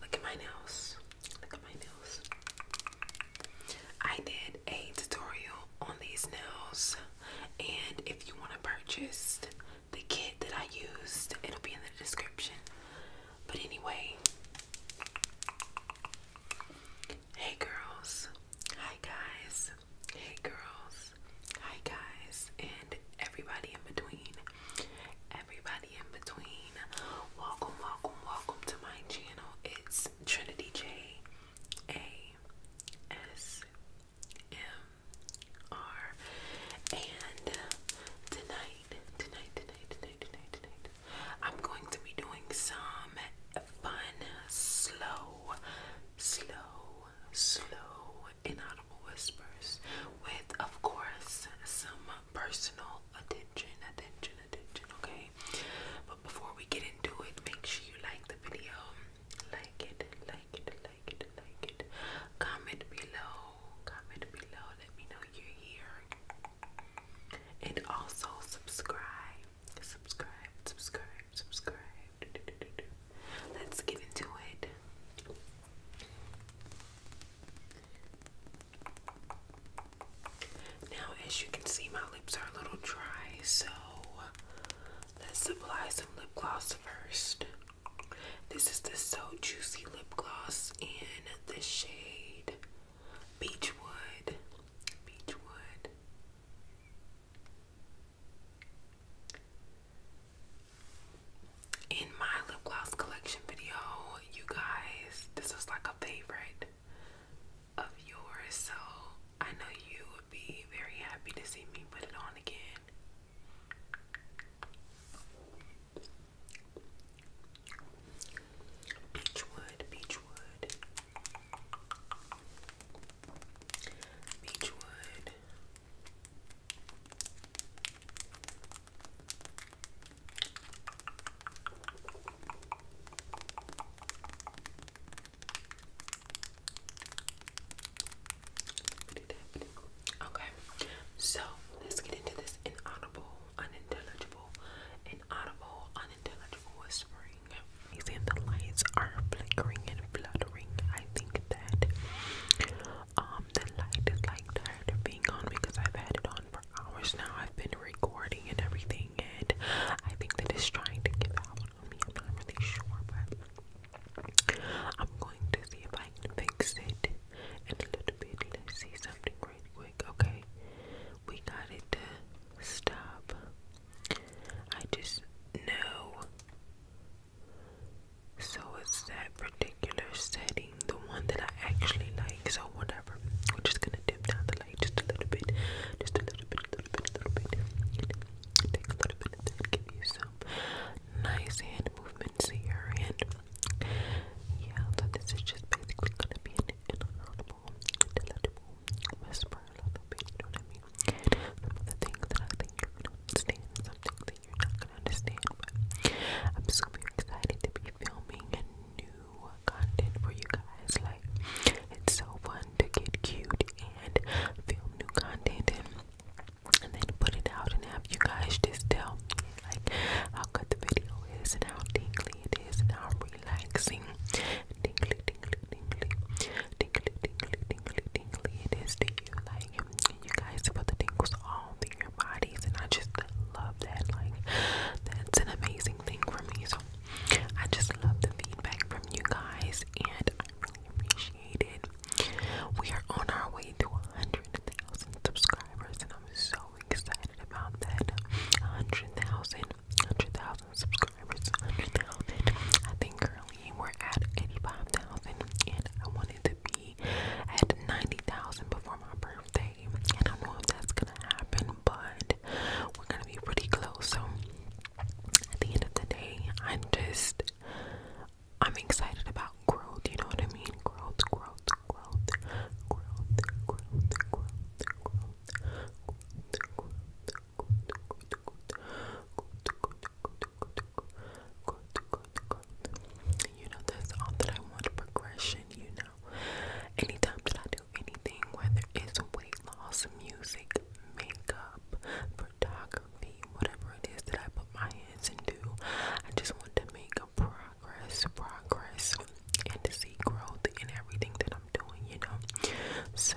Look at my nails. Look at my nails. I did a tutorial on these nails, and if you want to purchase the kit that I used, it'll be in the description. But anyway, hey girls, hi guys, boys, hey girls, hi guys, and everybody in between. Everybody in between. Welcome, welcome, welcome to my channel. It's Trinity J A S M R. And tonight, tonight, tonight, tonight, tonight, tonight, I'm going to be doing some fun, slow, slow slow, inaudible whispers with, of course, some personal attention, attention, attention, okay? But before we get into it, make sure you like the video. Like it, like it, like it, like it. Comment below, comment below. Let me know you're here. And also subscribe, subscribe, subscribe subscribe. Let's get into it. Now, as you can see, my lips are a little dry, so let's apply some lip gloss first. This is the So Juicy Lip Gloss in the shade Beechwood. Beechwood. In my lip gloss collection video, you guys, this was like a favorite of yours, so I know you would be very happy to see me put it on again. Beechwood, Beechwood. Beechwood. Okay, so let's get into this inaudible, unintelligible, inaudible, unintelligible whispering. He's the lights are flickering and fluttering. I think that um the light is like tired of being on because I've had it on for hours now. I've been recording and everything and I think that it's trying to give out on me. I'm not really sure but I'm going to see if I can fix it in a little bit. Let's see something real quick. Okay. We got it to stop. I just know so it's that particular setting, the one that I actually like. So whatever. We're just gonna dip down the light just a little bit. Just a little bit, a little bit, a little bit. And take a little bit of that, give you some nice hand movements here and yeah, so this is just basically gonna be an inaudible, intelligible whisper you know what I mean? of the things that I think you're going understand, some things that you're not gonna understand, I'm super excited to be filming new content for you guys. Like, it's so fun to get cute and film new content and and then put it out and have you guys just tell like how good the video is and how tingly it is and how relaxing tingly tingly tingly tingly tingly tingly tingly it is to you. Like you guys feel the tingles all through your bodies and I just love that. Like that's an amazing thing for me. So I just love the feedback from you guys and I really appreciate it. We are on our way to 100,000 subscribers and I'm so excited about that. 100,000, 100,000 subscribers under thousand. I think currently we're at eighty-five thousand, and I wanted to be at ninety thousand before my birthday. I don't know if that's gonna happen, but we're gonna be pretty close. So at the end of the day, I'm just I'm excited about growth. You know what I mean? growth, growth, growth, growth, growth, growth, growth, growth, growth, you know, that's all that I want progression, you know. Anytime that I do anything, whether it's weight loss, music, makeup, photography, whatever it is that I put my hands into, I just want to make progress, progress, and to see growth in everything that I'm doing, you know. So,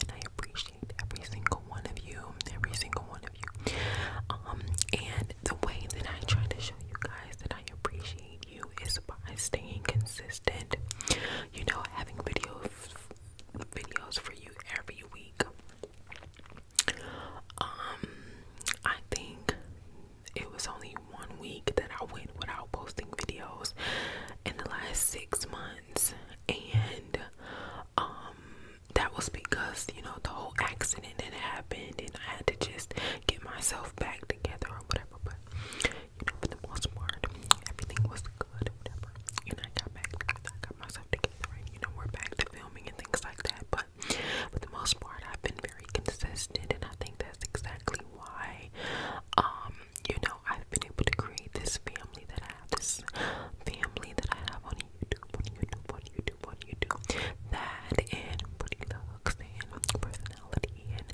and I appreciate every single one of you, every single one of you. Um, and the way that I try to show you guys that I appreciate you is by staying consistent. You know, having videos, videos for you every week. Um, I think it was only one week that I went without posting videos in the last six months, and um, um, that was because you know the whole accident that happened, and I had to just get myself back together or whatever. But you know, for the most part, everything was good, whatever. And I got back, I got myself together, and you know, we're back to filming and things like that. But for the most part, I've been very consistent, and I think that's exactly why, um, you know, I've been able to create this family that I have this family that I have on YouTube, on YouTube, on YouTube, on YouTube, that and pretty looks and personality and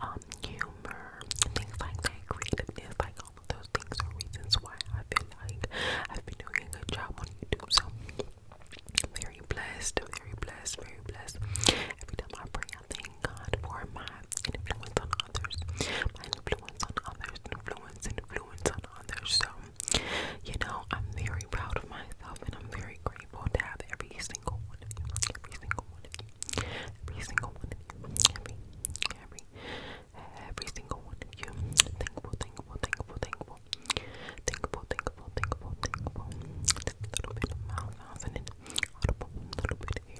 um humor and things like that, creativeness, like all of those things are reasons why I feel like I've been doing a good job on YouTube. So I'm very blessed, very blessed, very blessed. Every time I pray, I thank God for my influence on others, my influence on others, influence influence on others. So, you know, I'm very proud of myself and I'm very grateful to have every single one of you. Every single one of you. Every single one of you. Every every every single one of you. Thankful, thankful, thankful, thankful. Thankful, thankful, thankful, thankful.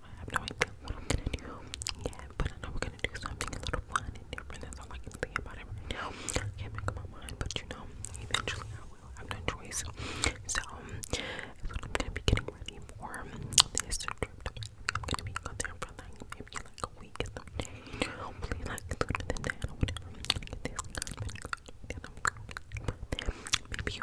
I am going but I know we're gonna do something a little fun and different. That's all I can think about it I can't make up my mind, but you know, eventually I will. have no choice. So, that's what I'm gonna be getting ready for this trip. I'm gonna be out there for like maybe like a week or something. Hopefully, like sooner than that or Maybe you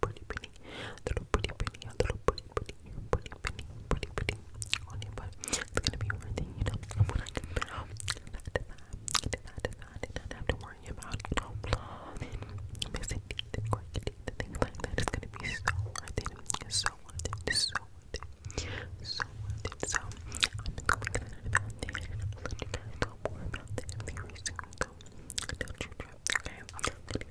pretty penny, little pretty penny, a little pretty penny, pretty penny, pretty penny on it, but it's gonna be worth it, you know. I'm gonna get out. Did I, did I, did not have to worry about, you know, missing teeth, and quick teeth, and things like that. It's gonna be so worth it, so worth it, so worth it, so worth it. So, I'm gonna get about that, you guys know more about that very soon. don't you trip, okay?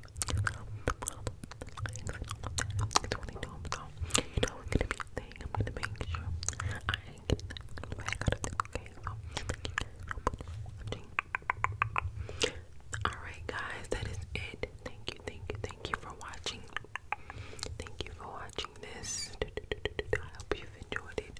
thank you for watching. Alright, guys, that is it. Thank you, thank you, thank you for watching. Thank you for watching this. I hope you've enjoyed it.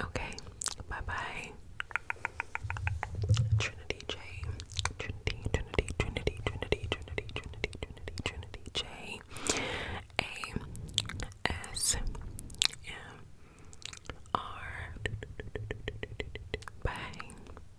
Okay, bye bye. Trinity J. Trinity, Trinity, Trinity, Trinity, Trinity, Trinity, Trinity, Trinity J. A S M R. Bye.